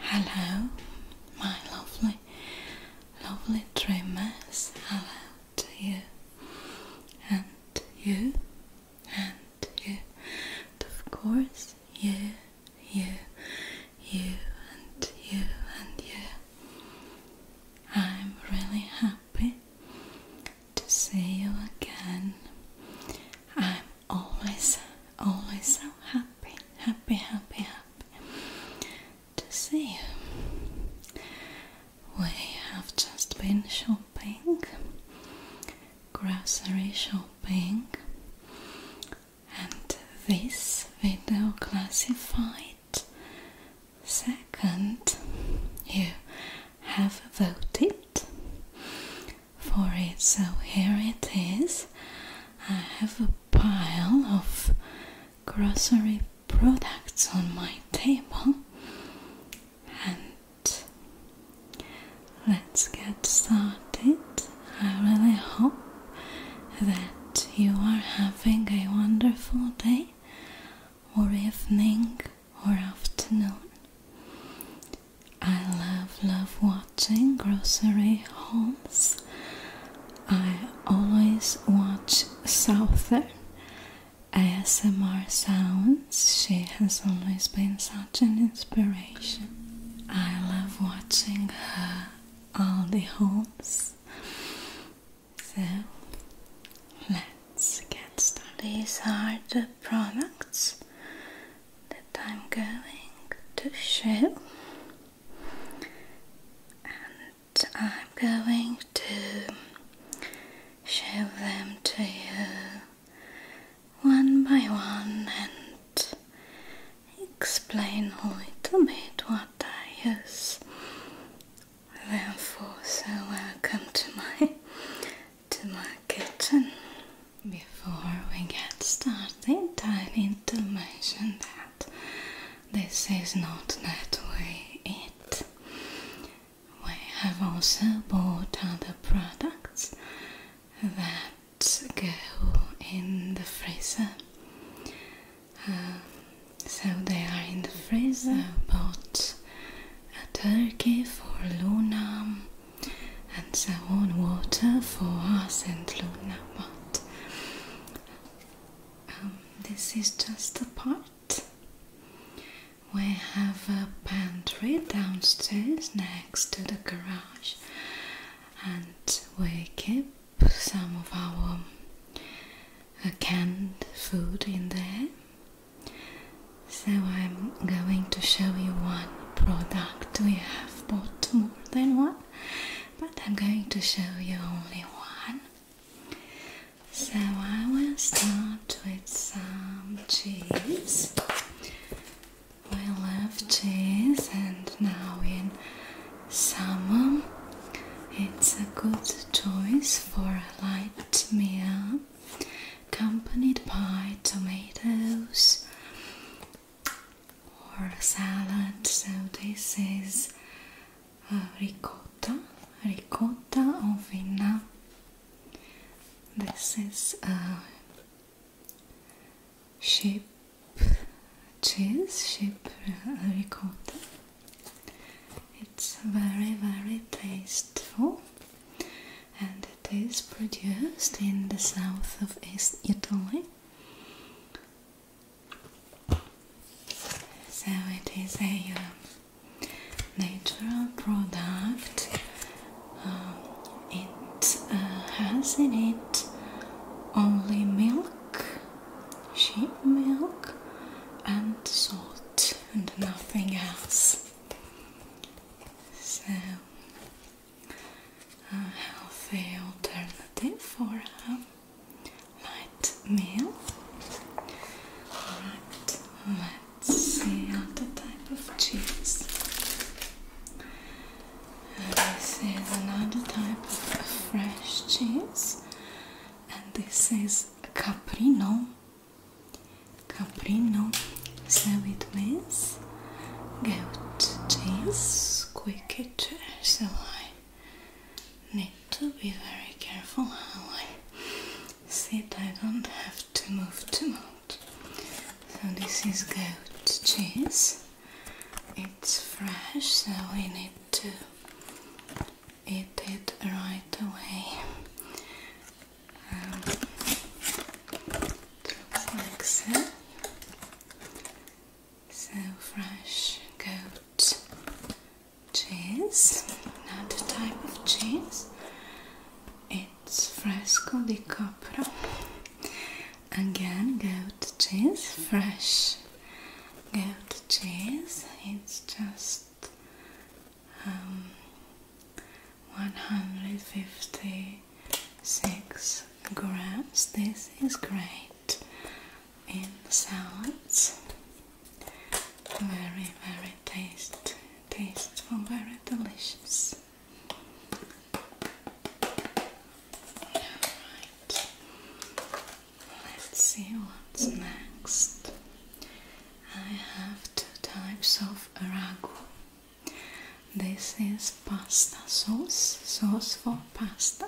Hello, my lovely, lovely dreamers. Hello to you, and you, and you, and of course, you, you, you, and you, and you. I'm really happy to see you again. I'm always, always so happy, happy, happy, happy to see you. We have just been shopping, grocery shopping, and this video classified second you have voted for it so here it is I have pile of grocery products on my table and let's get started. I really hope that you are having a wonderful day, or evening, or afternoon. I love, love watching. Chain grocery homes. I always watch Southern ASMR sounds. She has always been such an inspiration. I love watching her all the homes. So let's get started. These are the products that I'm going to show and I'm going to show them to you one by one and explain a little bit what I use them So welcome to my to my kitchen. Before we get started, I need to mention that this is not that way it. We have also bought other products that go in the freezer. Um, so they are in the freezer. Bought a turkey for Luna and some water for us and Luna. Um, this is just a part. We have a pantry downstairs next to the garage, and we keep some of our uh, canned food in there. So, I'm going to show you one product. We have bought more than one, but I'm going to show you only one. So I will start with some cheese. I love cheese, and now in summer it's a good choice for a light meal accompanied by tomatoes or salad. So this is ricotta, ricotta, of ovina. This is sheep cheese, sheep ricotta. It's very, very tasteful and it is produced in the south of East Italy. So it is a uh, natural product. Um, it uh, has in it only milk, sheep milk, and salt, and nothing else. So a healthy alternative for a light meal. let's see other type of cheese. this is another type of fresh cheese, and this is Caprino. Caprino, so it means goat is quick eater, so I need to be very careful how I sit. I don't have to move too much. So this is goat cheese. It's fresh, so we need to eat it right away. Um, it so fresh goat cheese, another type of cheese. It's fresco di copro. Again, goat cheese, fresh goat cheese. It's just um, 150 six grams. This is great in salads. Very, very taste, tasteful, very delicious. Alright, let's see what's next. I have two types of arago. This is pasta sauce, sauce for pasta.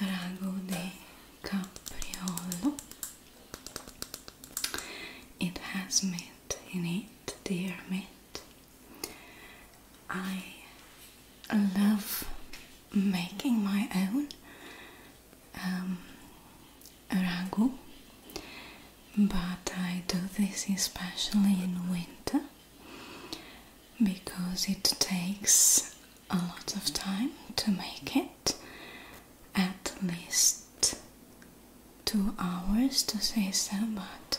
Ragu de capriolo. It has meat in it, dear meat. I love making my own um, ragu, but I do this especially in winter because it takes a lot of time to make it at least two hours to say so but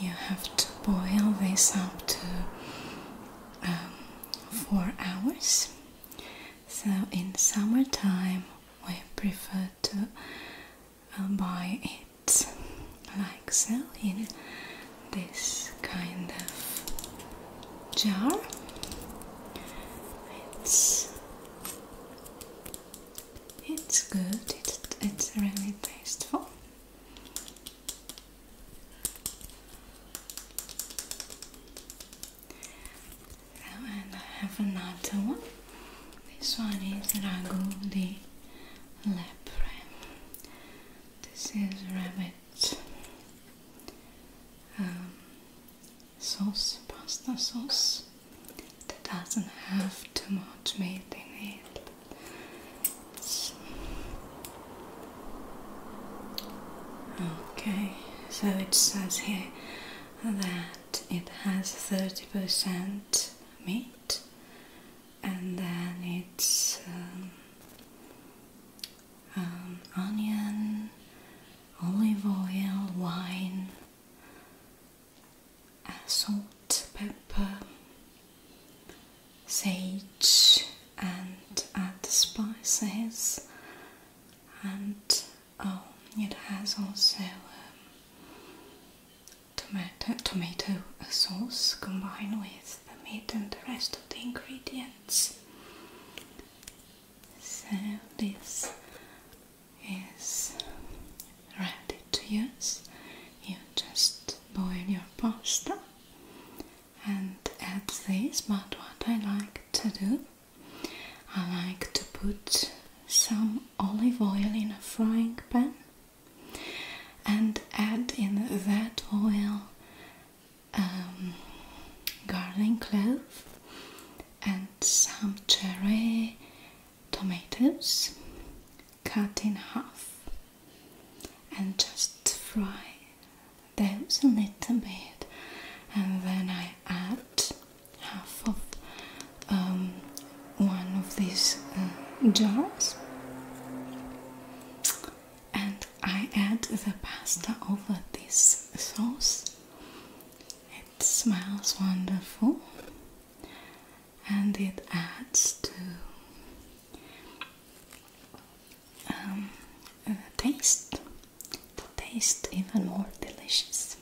you have to boil this up to um, four hours so in summertime we prefer to I buy it like so in this kind of jar it's it's good it's, it's really tasteful and I have another one this one is ragu di Leopard. This is rabbit um, sauce, pasta sauce It doesn't have too much meat in it. okay, so it says here that it has 30% meat and then it's um, um, onion, olive oil, wine, uh, salt, pepper, sage, and add the spices. And oh, it has also um, tomato, sauce combined with the meat and the rest of the ingredients. So this is ready to use. You just boil your pasta and add this, but what I like to do, I like to put some olive oil in a frying pan and add in that oil um, garlic clove and some cherry tomatoes cut in half and just fry those a little bit and then I add half of um, one of these uh, jars and I add the pasta over this sauce. It smells wonderful and it adds to um, the taste, the taste even more delicious.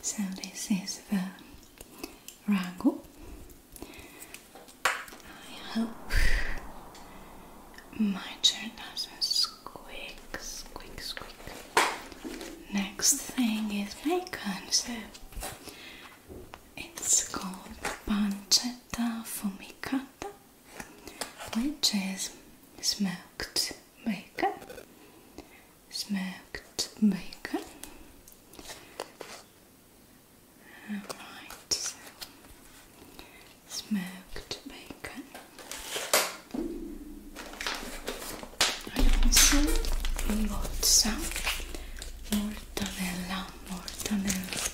So, this is the Rango. I hope my turn doesn't squeak, squeak, squeak. Next thing is bacon, so it's called pancetta fumicata, which is smoked bacon. Smoked bacon. Alright, smoked bacon. I also bought some mortadella, mortadella,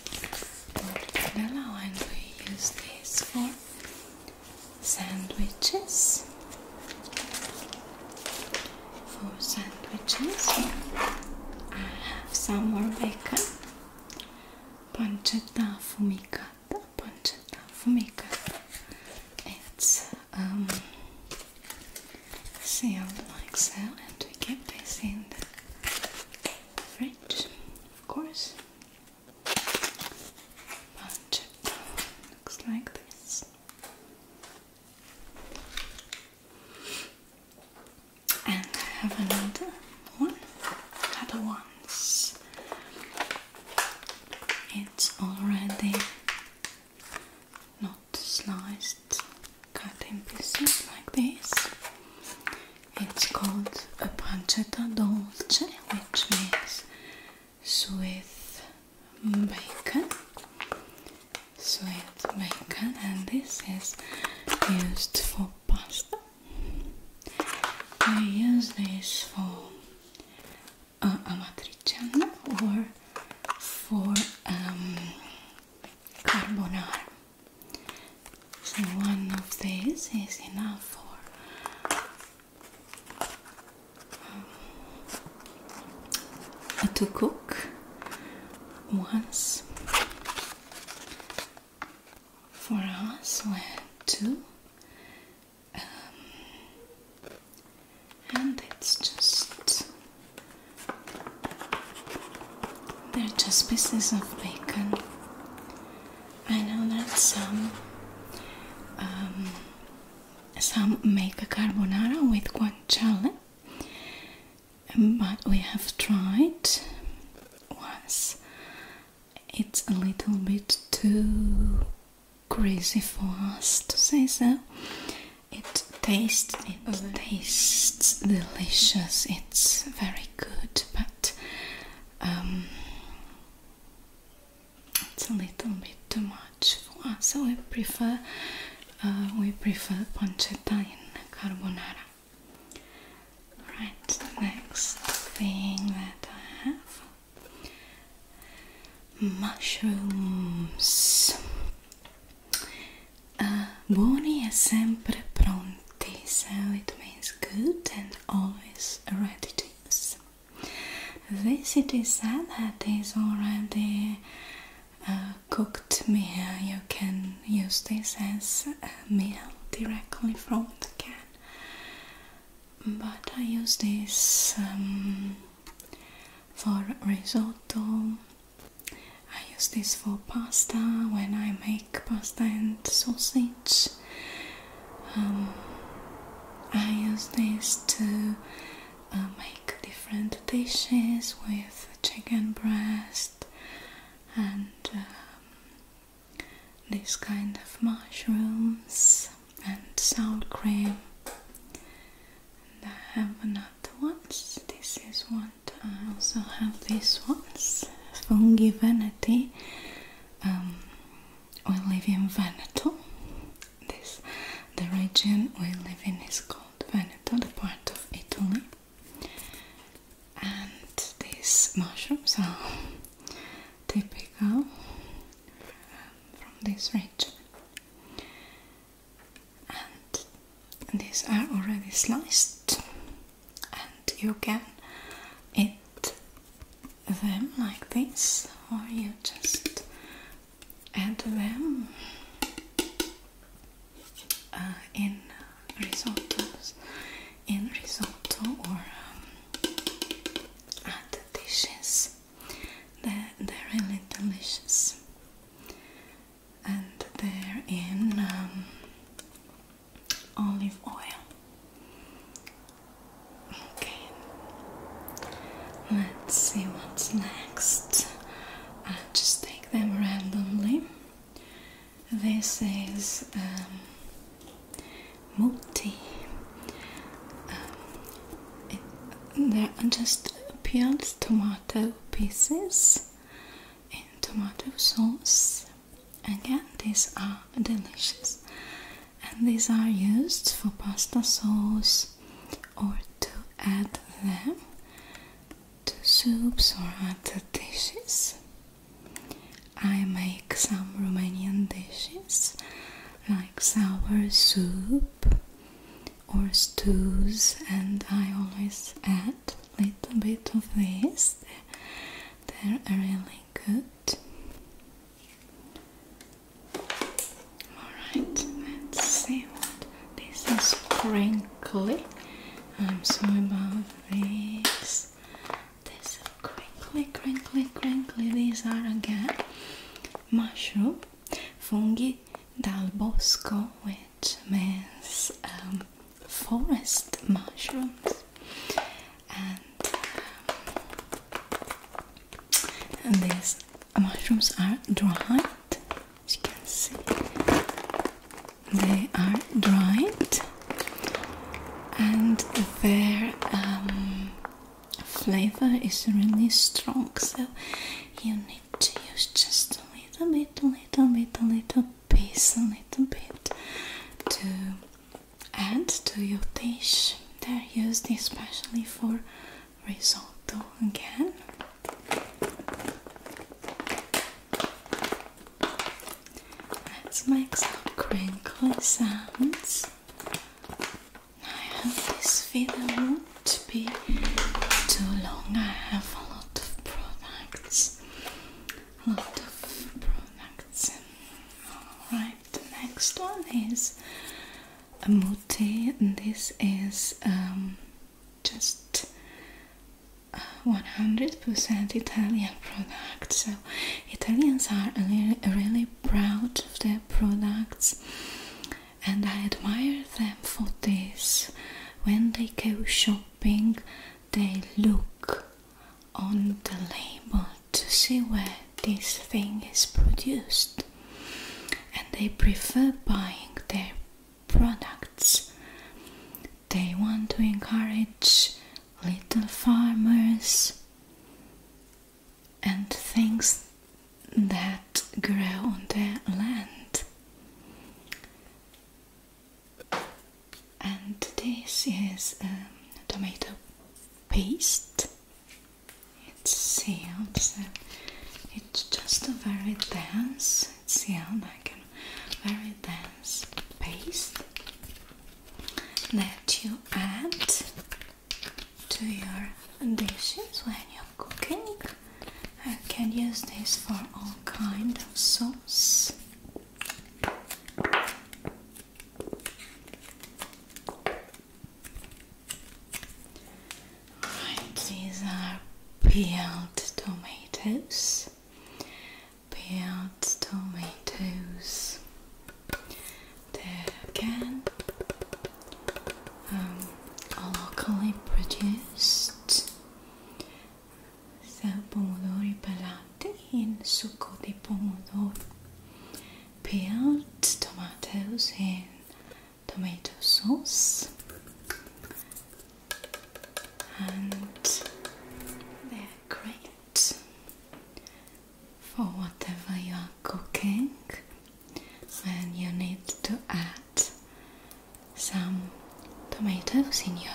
mortadella, and we use this for sandwiches for sandwiches. I have some more bacon. Pancetta fumigata. Pancetta fumigata. It's um, sealed like so, and we keep this in the fridge, of course. looks like this and have another one other ones it's already not sliced cut in pieces like this it's called a pancetta dolce which means sweet bacon, sweet bacon, and this is used for pasta. I use this for uh, amatriciana or for um, carbonara. So one of these is enough for uh, to cook once for us were two um, and it's just they're just pieces of bacon I know that some um, some make a carbonara with guanciale um, but we have tried once. It's a little bit too crazy for us to say so. It tastes it tastes delicious. It's very good, but um, it's a little bit too much so we prefer uh, we prefer pancetta in carbonara. Right, the next thing that I have mushrooms. Uh, buoni e sempre pronti, so it means good and always ready to use. This it is said that is already cooked meal, you can use this as a meal directly from the can. But I use this um, for risotto. I use this for pasta when I make pasta and sausage. Um, I use this to uh, make different dishes with chicken breast and um, these kind of mushrooms and sour cream. And I have another ones. This is one. I also have these ones. Fungi Veneti. Um, we live in Veneto. This the region we live in is called called Veneto, part of Italy. And these mushrooms are typical from this region. And these are already sliced, and you can eat them like this, or you just and then, uh, in risottos, in risotto or um, other dishes. They're, they're really delicious, and they're in um, olive oil. Okay, let's see what's next. Uh, just take them randomly. This is um, multi. Um, are just peeled tomato pieces in tomato sauce. Again, these are delicious, and these are used for pasta sauce or to add them to soups or other dishes. I make some Romanian dishes like sour soup or stews, and I always add a little bit of this. They're really good. Alright, let's see what this is crinkly. I'm sorry about this. This is crinkly, crinkly, crinkly. These are again mushroom fungi dal bosco, which means um, forest mushrooms. And, um, and these mushrooms are dried as you can see they are dried and their um, flavor is really strong so you need to use just a little bit a little bit a little piece a little bit to add to your dish they're used especially for Result again. Let's make some crinkly sounds. I hope this video won't be too long. I have a lot of products. A lot of products. Alright, the next one is a muti, and this is um, just 100% uh, Italian product. So Italians are really, really proud of their products, and I admire them for this. When they go shopping, they look on the label to see where this thing is produced, and they prefer buying their products. They want to encourage little farmers and things that grow on their land. And this is tomato paste. It sealed, it's just a very dense, it's yeah, like a very dense paste that you add to your dishes when you're cooking. I can use this for all kind of sauce these are peeled tomatoes. Peeled tomatoes. They're again um, locally produced. So pelati in succo di pomodoro. Peeled tomatoes in tomato sauce and they're great for whatever you are cooking when you need to add some tomatoes in your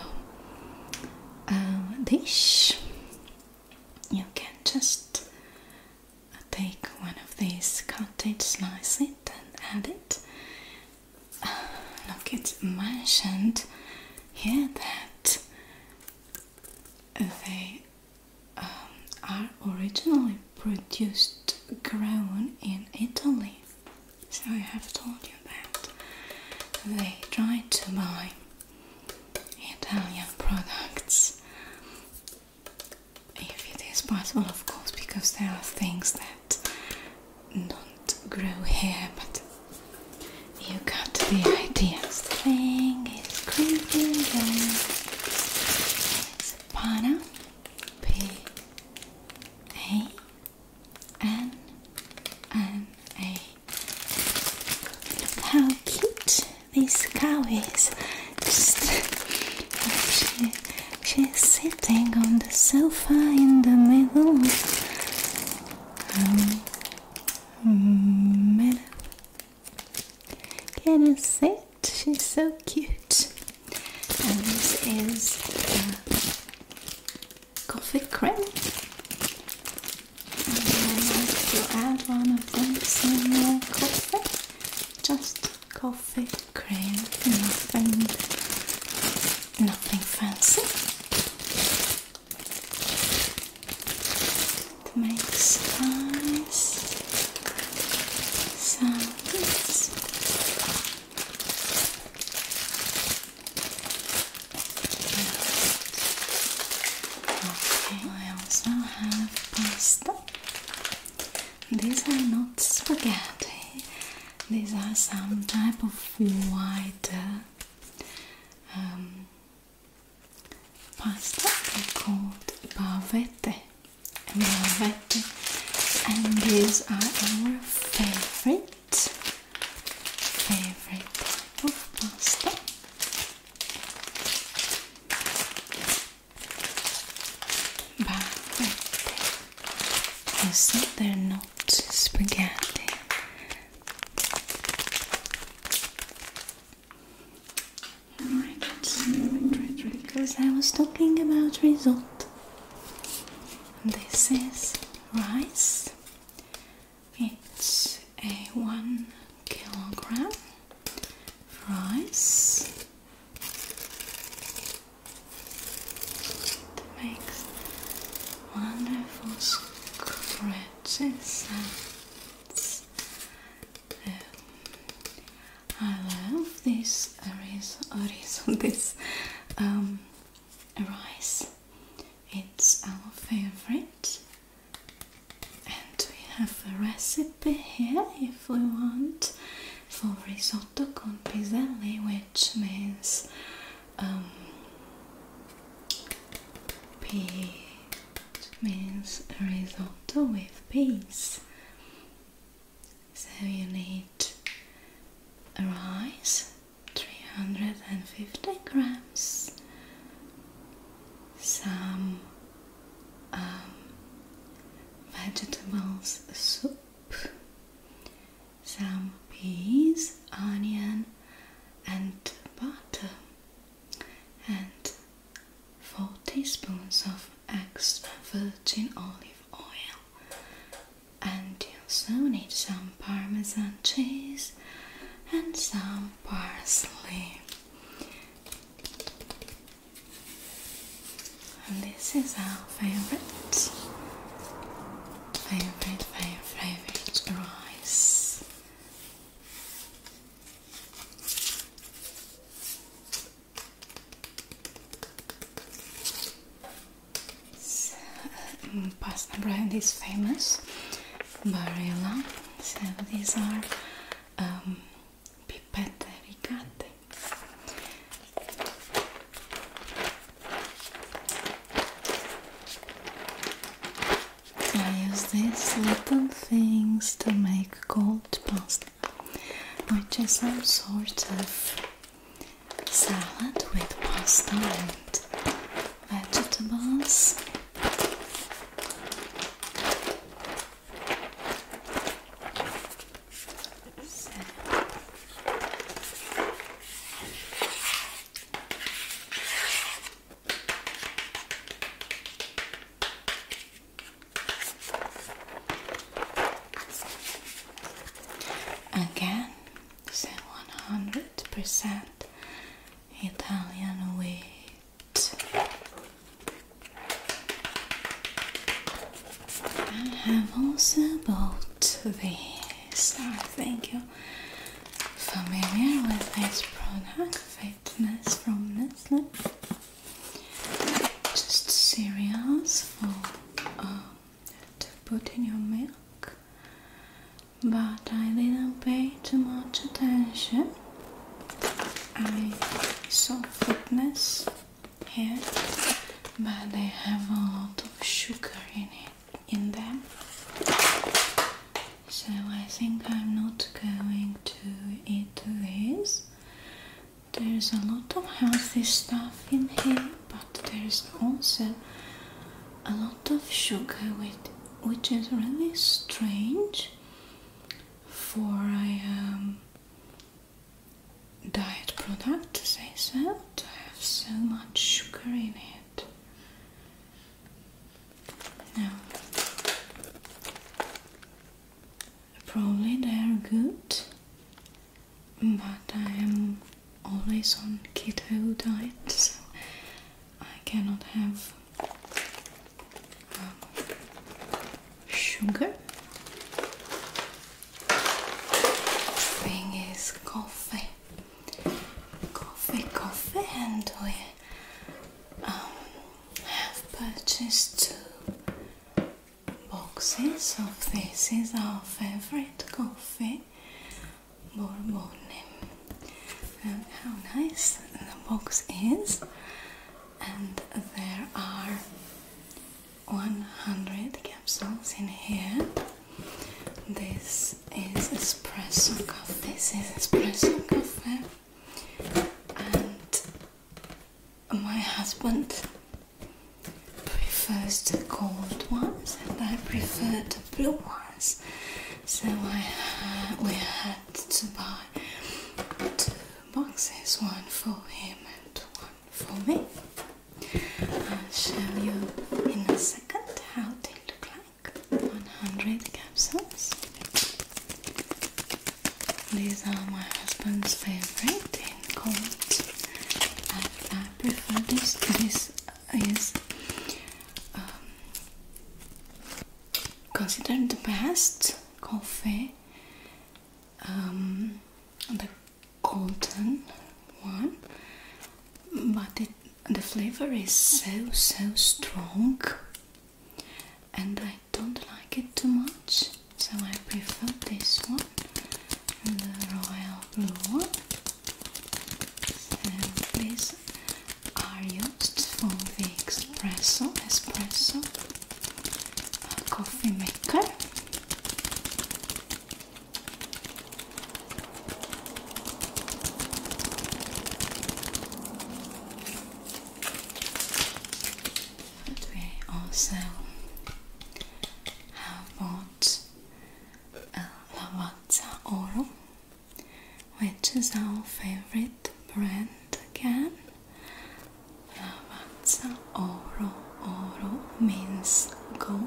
um, dish you can just take one of these cottage slices it and add it. look, it's mentioned here that they um, are originally produced, grown in Italy. So I have told you that they try to buy Italian products if it is possible, of course, because there are things that don't grow here, but you got the idea. thing is creeping down. It's Pana P A N N A. how cute this cow is. Just actually She's sitting on the sofa in the middle. Um, Can you see it? She's so cute. And this is coffee cream. And I like to add one of them in my coffee. Just coffee Cream nothing, nothing fancy. It makes nice sounds. Okay, I also have pasta. These are not spaghetti. These are some type of white uh, um, pasta called bavette. bavette. And these are our favorite, favorite type of pasta. But you see, not spaghetti. because I was talking about result, This is rice. It's a one kilogram rice it makes wonderful scratches sounds. Um, I love this orizo, this um, rice. It's our favorite, and we have a recipe here if we want for risotto con piselli, which means um, pea means risotto with peas. So you need rice, 350 grams, some um, vegetables soup some peas, onion, and butter, and 4 teaspoons of extra virgin olive oil. And you will also need some parmesan cheese and some parsley. And this is our favorite, favorite, favorite, favorite rice. Mm, pasta bread is famous, Barilla. So these are um, I use these little things to make cold pasta which is some sort of salad with pasta and vegetables so. Again, so one hundred percent Italian wheat. I have also bought this. I think you familiar with this product, Fitness from Nestle. Just cereals for um, to put in your milk, but I didn't pay too much attention. I saw fitness here but they have a lot of sugar in it in them so I think I'm not going to eat this there's a lot of healthy stuff in here but there's also a lot of sugar with which is really strange for I am. Um, diet product, they said. I have so much sugar in it. Now, probably they are good, but I am always on keto diet, so I cannot have um, sugar thing is coffee coffee coffee and we um, have purchased two boxes of this is our favorite coffee bourbon and um, how nice the box is and there are 100 capsules in here. This is espresso coffee. This is espresso coffee, and my husband prefers the cold ones, and I prefer the blue ones. So I we had to buy two boxes, one for him and one for me. I'll show you in a second how they look like. 100 capsules. These are my husband's favorite in cold. I, prefer this. This is um, considered the best coffee. Um, golden one but it, the flavor is so so strong and I don't like it too much so I prefer this one the royal blue one Please, are you from the espresso espresso uh, coffee maker but we also have bought Lavazza Oro, which is our favorite brand again. Lavatsa oro. Oro means gold.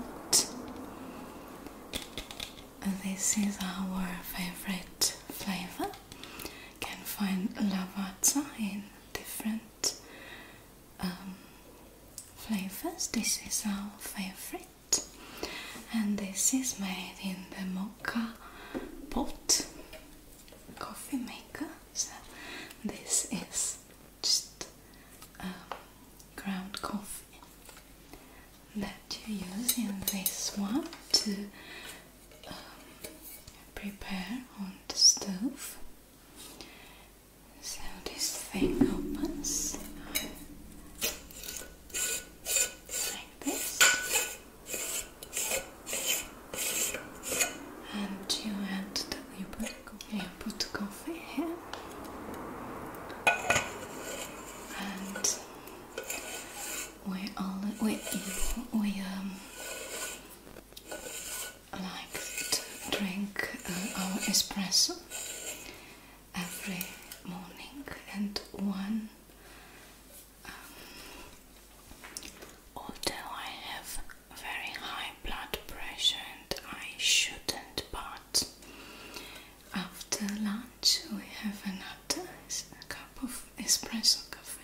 This is our favorite flavor. You can find lavatsa in different um, flavors. This is our favorite, and this is made in the mocha pot coffee maker. So, this is just um, ground coffee that you use in this one to um, prepare on the stove. So this thing opens like this, and you add the liquid Okay, put coffee here and we all we we um like to drink uh, our espresso every morning and one um, although I have very high blood pressure and I shouldn't, but after lunch we have another cup of espresso coffee.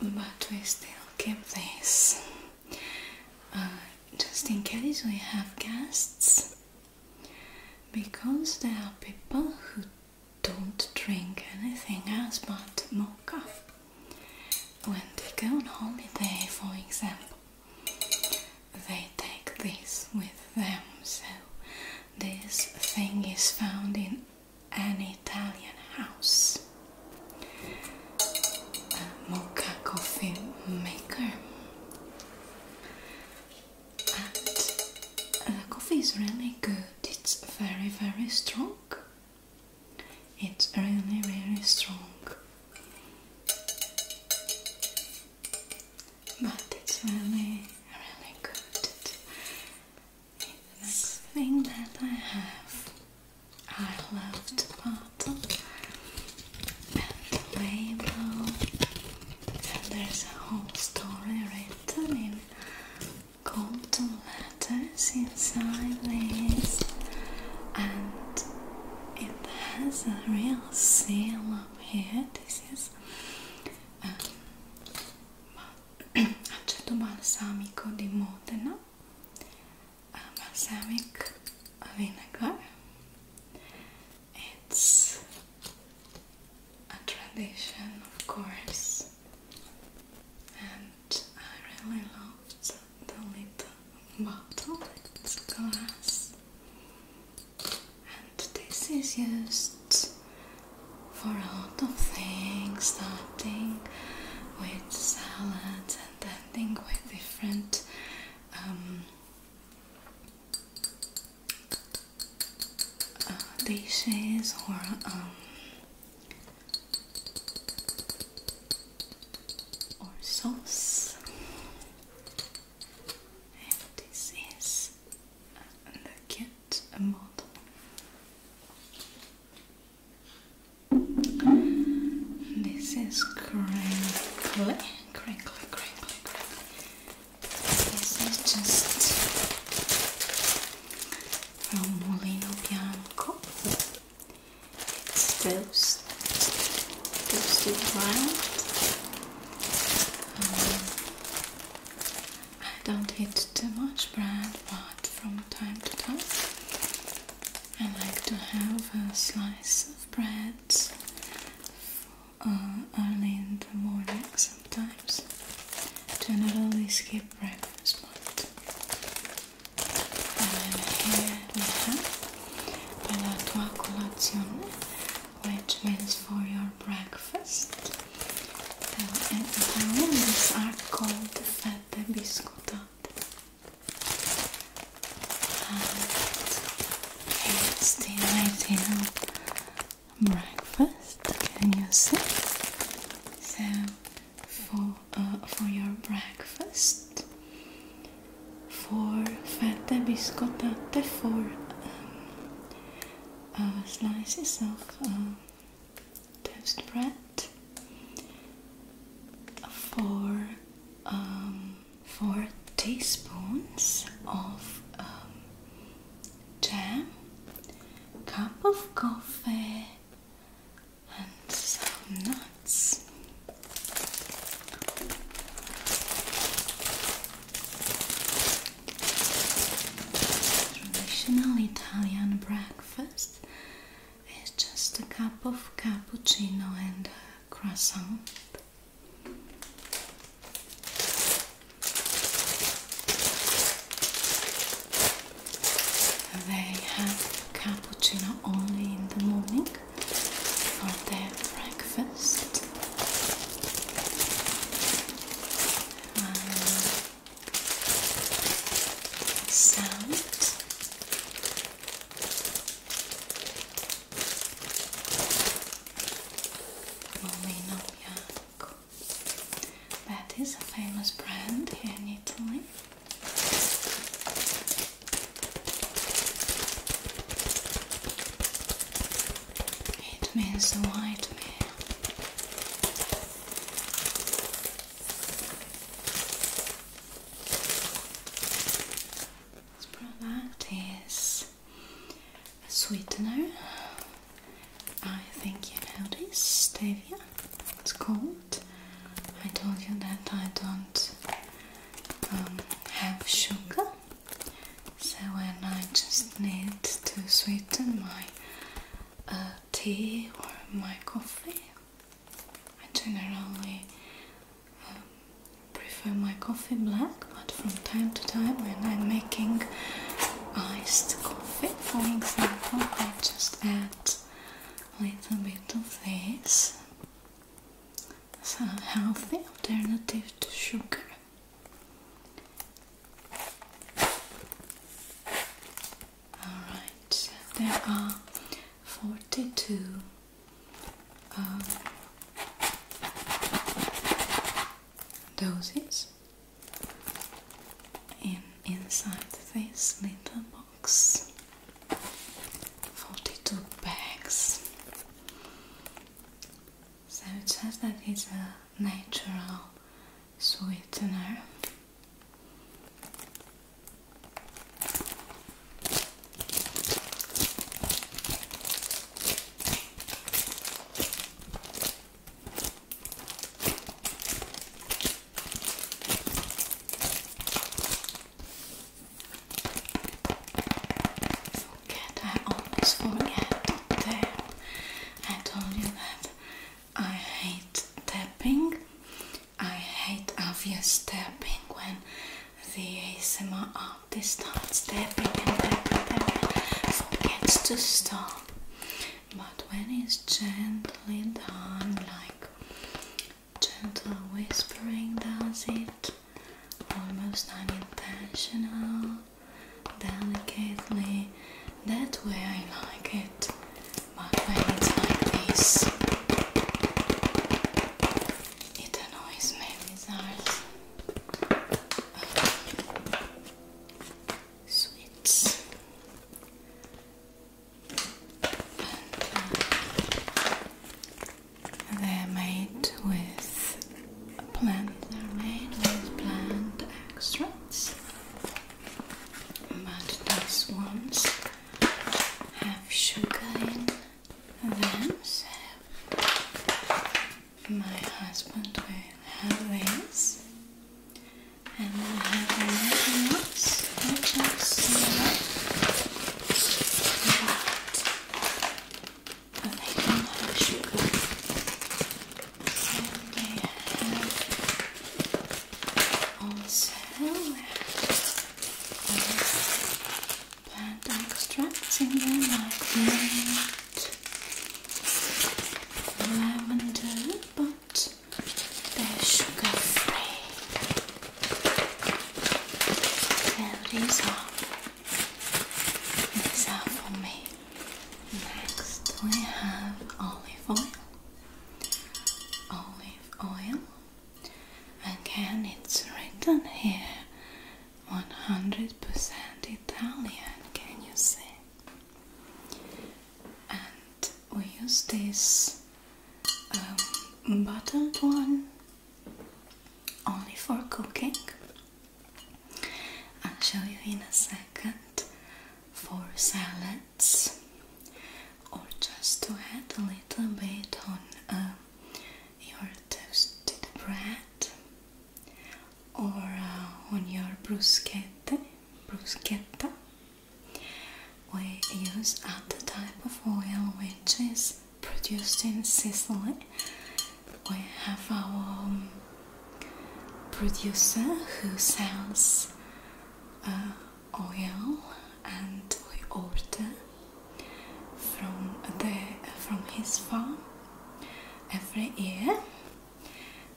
But we still keep this uh, just in case we have guests because there are people who don't drink anything else but mocha. When they go on holiday, for example, they take this with them. So, this thing is found in an Italian house. A mocha coffee maker. And the uh, coffee is really good, it's very, very strong. It's really really strong, but it's really, really good. next thing that I have, I love bottle and label, and there's a whole story written in golden letters inside this and it has a real seal up here. This is um, balsamico di Modena, um, balsamic vinegar. It's a tradition, of course, I really loved the little bottle, it's glass and this is used for a lot of things starting with salads and ending with different um, uh, dishes or um, or sauce and this is the kit model this is crinkly, crinkly, crinkly, crinkly this is just from Bianco it's toast, toasted wild. Um, I don't eat too much bread, but from time to time I like to have a slice of bread uh, early in the morning sometimes. Generally skip breakfast, but and here we have para tua colazione, which means for your breakfast. And these are called fette biscottate. And it's the ideal breakfast, can you see? So, for uh, for your breakfast for fette biscottate for um, uh, slices of um, toast bread for um, four teaspoons of um, jam cup of coffee Traditional Italian breakfast is just a cup of cappuccino and a croissant. They have cappuccino only in the morning for their breakfast. Um, sound. That is a famous brand here in Italy. It means the white This product is a sweetener. I think you know this, stevia. It's called. I told you that I don't um, have sugar, so when I just need to sweeten my uh, tea or my coffee, I generally um, prefer my coffee black, but from time to time when I'm making iced coffee, for example, I just add a little bit of this some healthy alternative to sugar. Alright, there are 42 um, doses in, inside this little box. 42 bags. So it says that it's a natural sweetener forget, I almost forget there. I told you that I hate tapping. I hate obvious tapping when the ASMR artist starts tapping and tapping, tapping forgets to stop. But when it's gently done, like gentle whispering does it, almost unintentional, delicately. That way I like it, but when it's like this, it annoys me with they're made with plants. They're made with plant extracts, but these ones have sugar in them. my husband will have this, and we have another one else I just know that they do have sugar and they have also plant extracts in there like mint, but they're sugar free. There these are. These are for me. Next we have olive oil. Olive oil. Again, it's written here 100% Italian. Can you see? we use this um, bottled one only for cooking. I'll show you in a second for salads or just to add a little bit on um, your toasted bread or uh, on your bruschetta, bruschetta we use other type of oil which is produced in Sicily. We have our um, producer who sells uh, oil and we order from the from his farm every year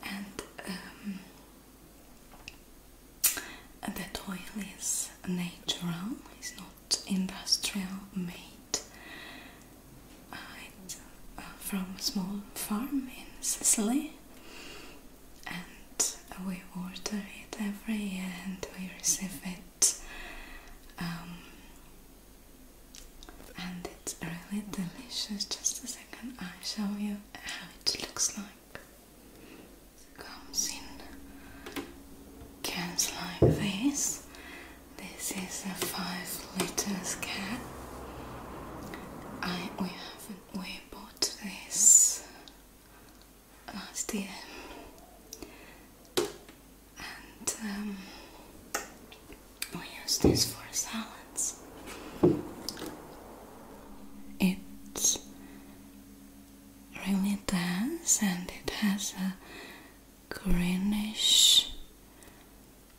um, the oil is natural, it's not industrial made. it's uh, from a small farm in Sicily, and we water it every year and we receive it. Um, and it's really delicious. Just a second, I'll show you how it looks like comes in cans like this. This is a five liters can. we haven't we bought this last year. And um, we use this for salads. It's Really dense, and it has a greenish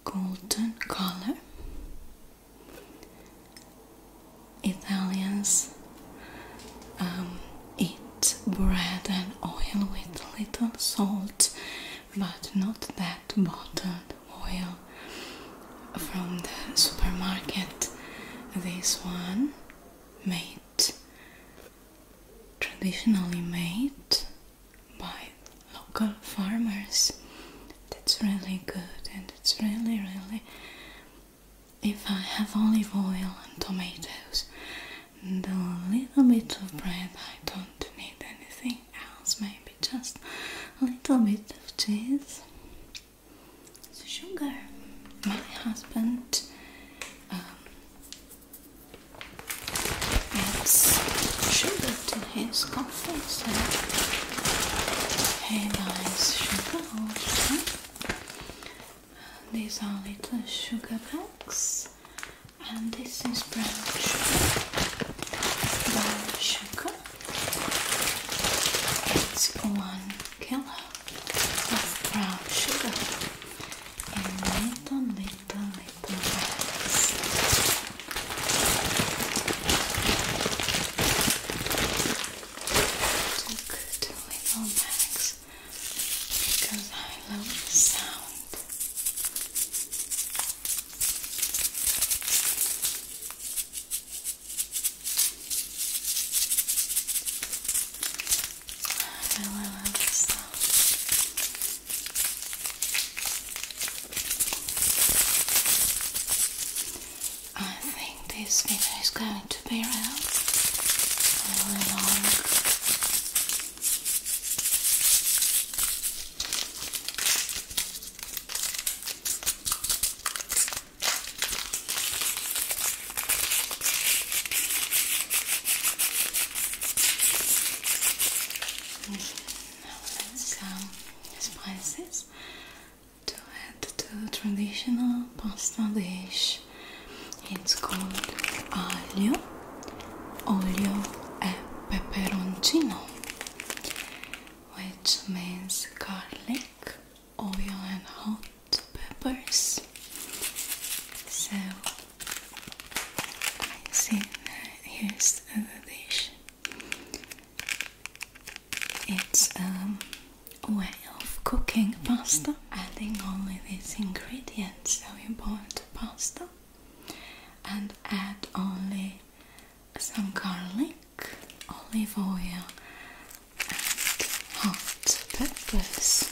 golden color. Italians um, eat bread and oil with little salt, but not that bottled oil from the supermarket. This one made, traditionally made by local farmers. That's really good and it's really, really. If I have olive oil and tomatoes and a little bit of bread, I don't need anything else, maybe just a little bit of cheese. So sugar, my husband um, adds sugar to his coffee, so he likes sugar These are little sugar bags, and this is brown sugar. Brown sugar. It's one kilo of brown sugar and little, little, little bags. Took the little bags because I love the sound. I think this video is going to be around long. Now let's um, spices to add to traditional pasta dish. It's called aglio, olio e peperoncino, which means garlic, oil and hot peppers. So I think here's the dish. It's um, a way of cooking pasta, adding only these ingredients. So you boil the pasta and add only some garlic, olive oil, and hot peppers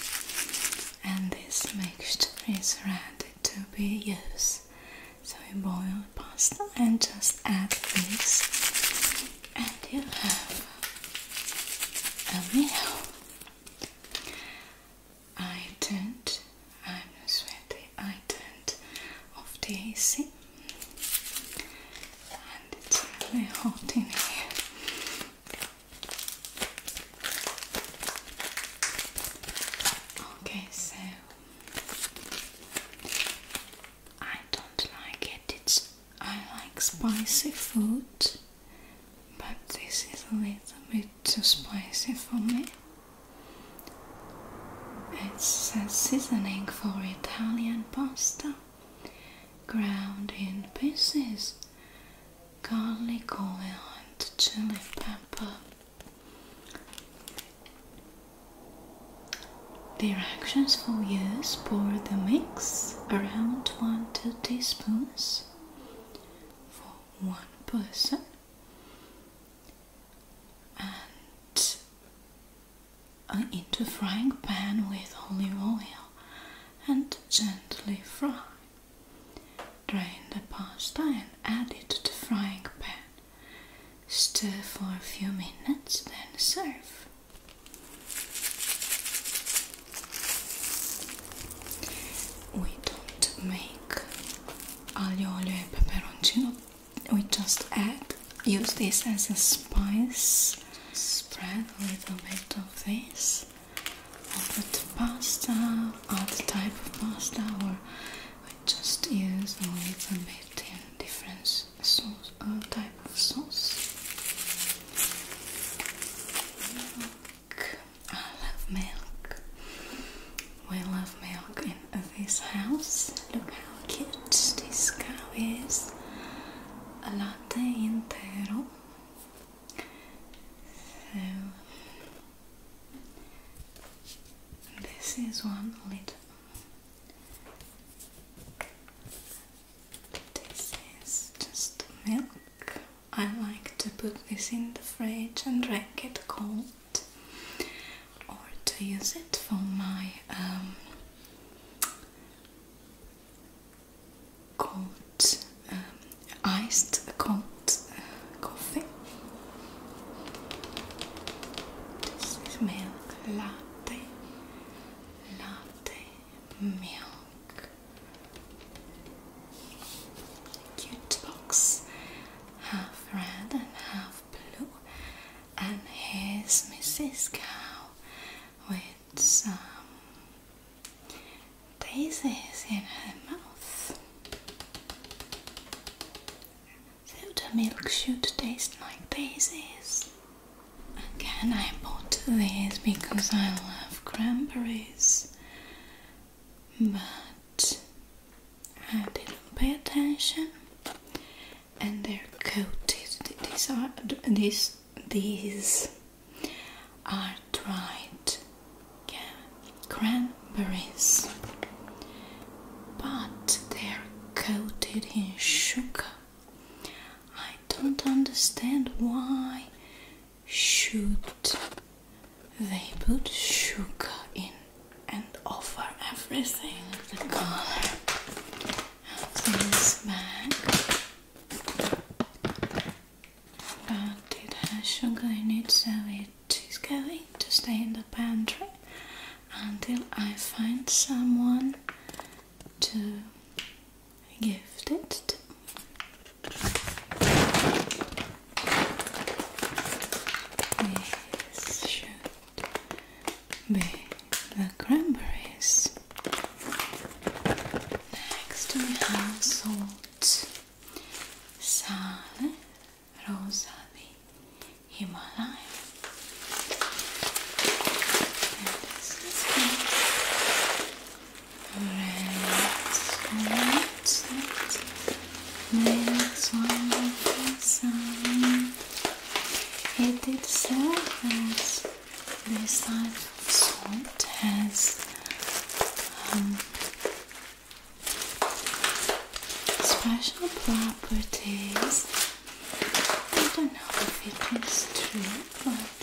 and this mixture is ready to be used so you boil the pasta and just add this and you have a meal I turned I'm not sweaty I turned off the AC and it's really hot in here. Okay, so I don't like it. It's I like spicy food, but this is a little bit too spicy for me. It's says seasoning for Italian pasta ground in pieces garlic oil and chili pepper. Directions for use pour the mix around 1 2 teaspoons for one person into frying pan with olive oil and gently fry. Drain the pasta and add it to frying pan. Stir for a few minutes, then serve. We don't make aglio oil e peperoncino, we just add, use this as a spice spread a little bit of this over the pasta, other type of pasta, or we just use a little bit in different sauce, uh, type of sauce. Milk. I love milk. We love milk in this house. Look how cute this cow is latte intero this is one liter this is just milk I like to put this in the fridge and drink it cold or to use it for my um, cold um, iced cold uh, coffee. This is milk latte, latte milk. Cute box, half red and half blue, and here's Mrs. Cow with its um, daisies in her mouth. So the milk should taste like daisies. Again, I bought these because I love cranberries, but I didn't pay attention. And they're coated. These are these these are dried cranberries, but they're coated in sugar. I don't understand why should they put sugar in and offer everything the color of this bag. But it has sugar in it, so it is going to stay in the pantry until I find someone to gift it to. This should be the cranberries. Next we have salt, sale, rosavi, Himalaya. And this is red salt, next one is sand. Um, it itself has this type has um, special properties. I don't know if it is true, but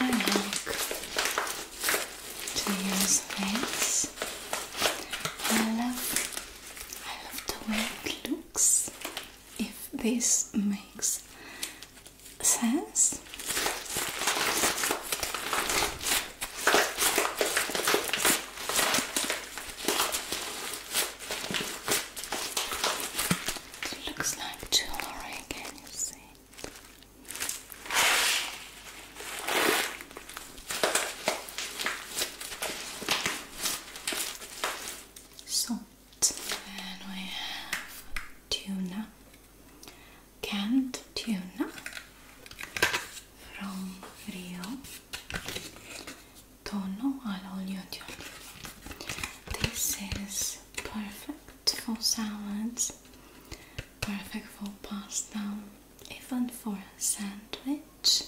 I like to use this. I love, I love the way it looks. If this makes says. It looks like jewelry, can you see? So then we have tuna, canned tuna from Rio, Tono al olio tuna. This is perfect for salads, perfect for pasta, even for a sandwich.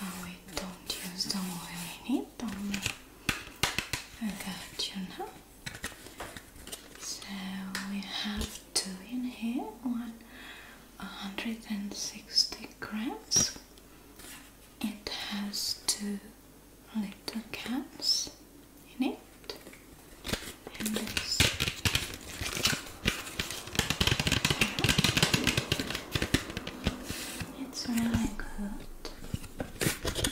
Uh, we don't use the oil in it, only I got you now. So we have two in here, one 160 grams. It has two little caps in it, it's really good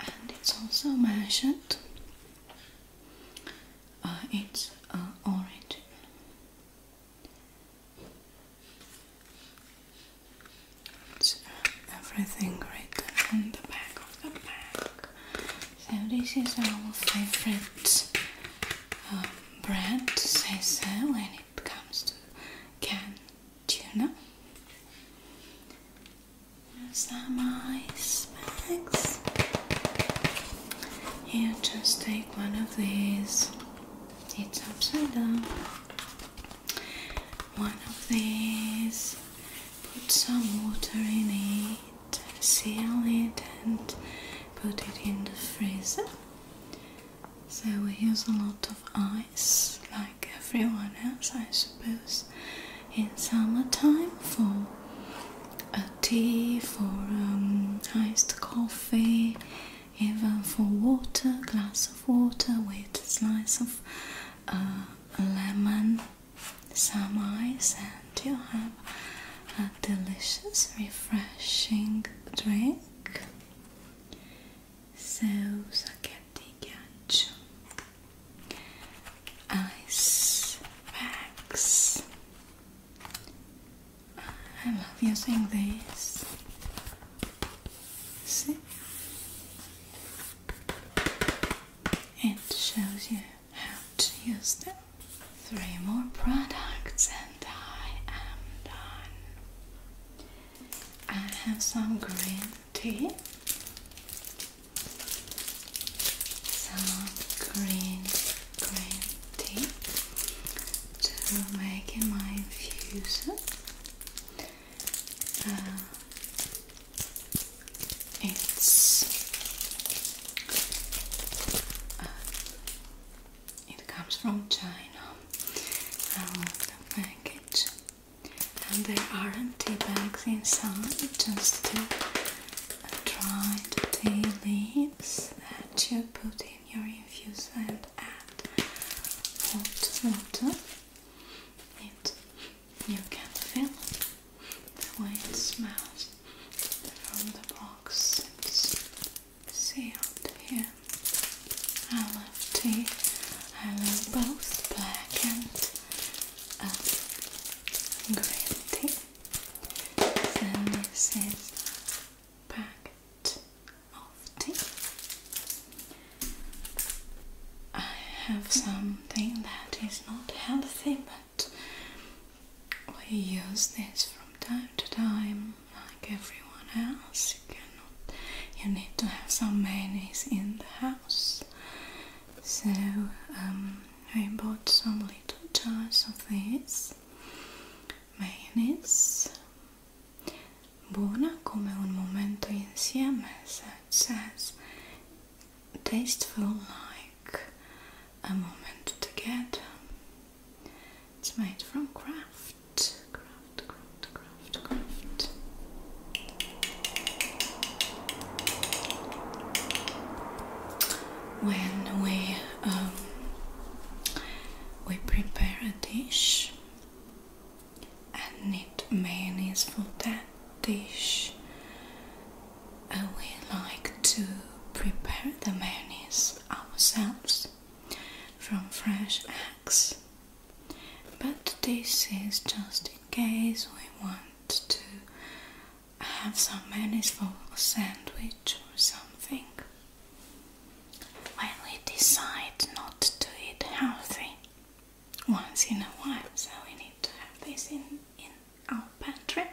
and it's also mentioned uh, its uh, origin. It's uh, everything written on the back of the pack. So this is our favorite bread, uh, brand, say so, when it comes to canned tuna. Some ice bags. You just take one of these. It's upside down. One of these. Put some water in it. Seal it and put it in the freezer so we use a lot of ice, like everyone else, I suppose, in summertime for a tea, for um, iced coffee, even for water, glass of water with slice of uh, lemon, some ice, and you have a delicious, refreshing drink. So, I seu saquete gancho ice bags I love using this see it shows you how to use them three more products and I am done I have some green tea. Some green green tea to make my infusion. Uh, it's uh, it comes from China. I love the package and there are tea bags inside just to dry the tea leaves that you put in your infuser and add hot water. It you can feel the way it smells from the box. It's sealed here. I love tea. I love both black and um, green tea. Then this is a of tea. I have something that is not healthy, but we use this from time to time, like everyone else. You need to have some mayonnaise in the house. So um, I bought some little jars of this mayonnaise. Buona come un momento insieme, so it says. Tasteful like a moment together. It's made from craft. When we um, we prepare a dish and need mayonnaise for that dish, uh, we like to prepare the mayonnaise ourselves from fresh but this is just in case we want to have some mayonnaise for a sandwich or something when we decide not to eat healthy once in a while so we need to have this in, in our pantry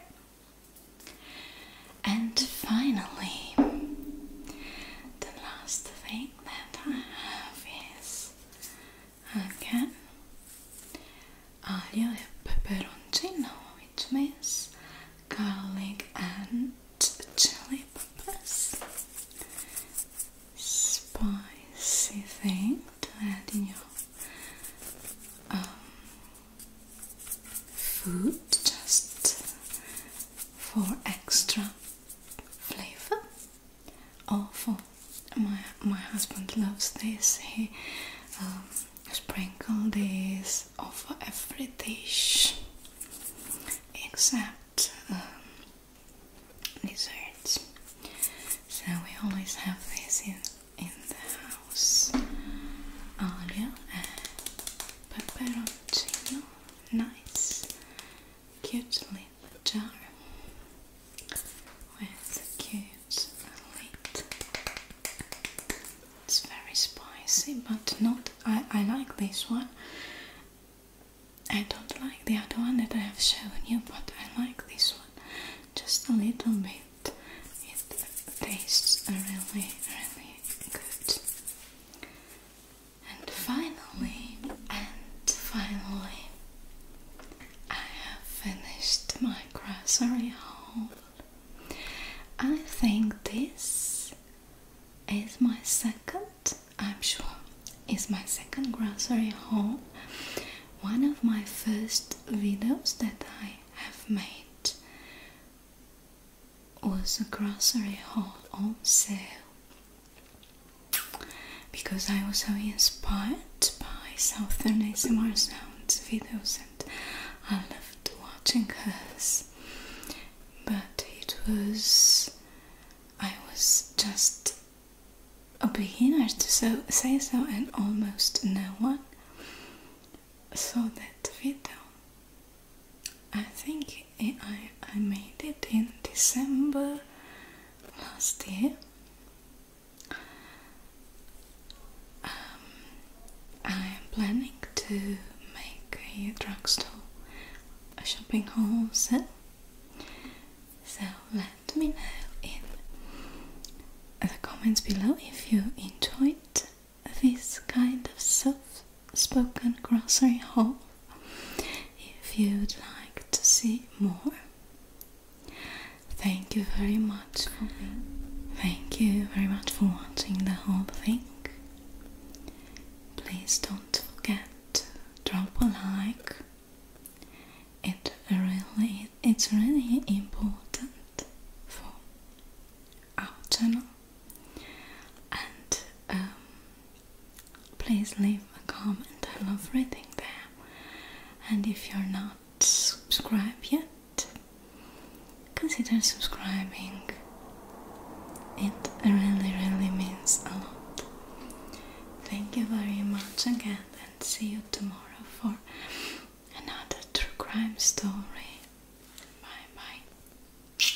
and finally the last thing that I have is again aglio e peperoncino, which means garlic and chili peppers. Spicy thing to add in your um, food just for extra flavor awful. My my husband loves this. He um, sprinkle this over every dish except um, desserts. So we always have this in in the house. Olio and pepperoncino, nice cute little jar with cute lid. It's very spicy, but not. I, I like this one. I don't like the other one that I have shown you, but I like this one just a little bit. It tastes really, really good. And finally, and finally, I have finished my grocery haul. I think this is my second, I'm sure, is my second grocery haul. One of my first videos that I have made was a grocery haul on sale because I was so inspired by Southern ASMR sounds videos and I loved watching hers. But it was. I was just a beginner to so, say so, and almost no one saw that video. I think I, I made it in December last year. Um, I am planning to make a drugstore, a shopping haul sale. So let me know in the comments below if you enjoyed this kind of self-spoken grocery haul if you'd like to see more. Thank you very much Thank you very much for watching the whole thing. Please don't forget to drop a like. It really it's really important for our channel and um, please leave a comment. I love reading them. And if you're not subscribed yet, consider subscribing. It really, really means a lot. Thank you very much again, and see you tomorrow for another true crime story. Bye bye.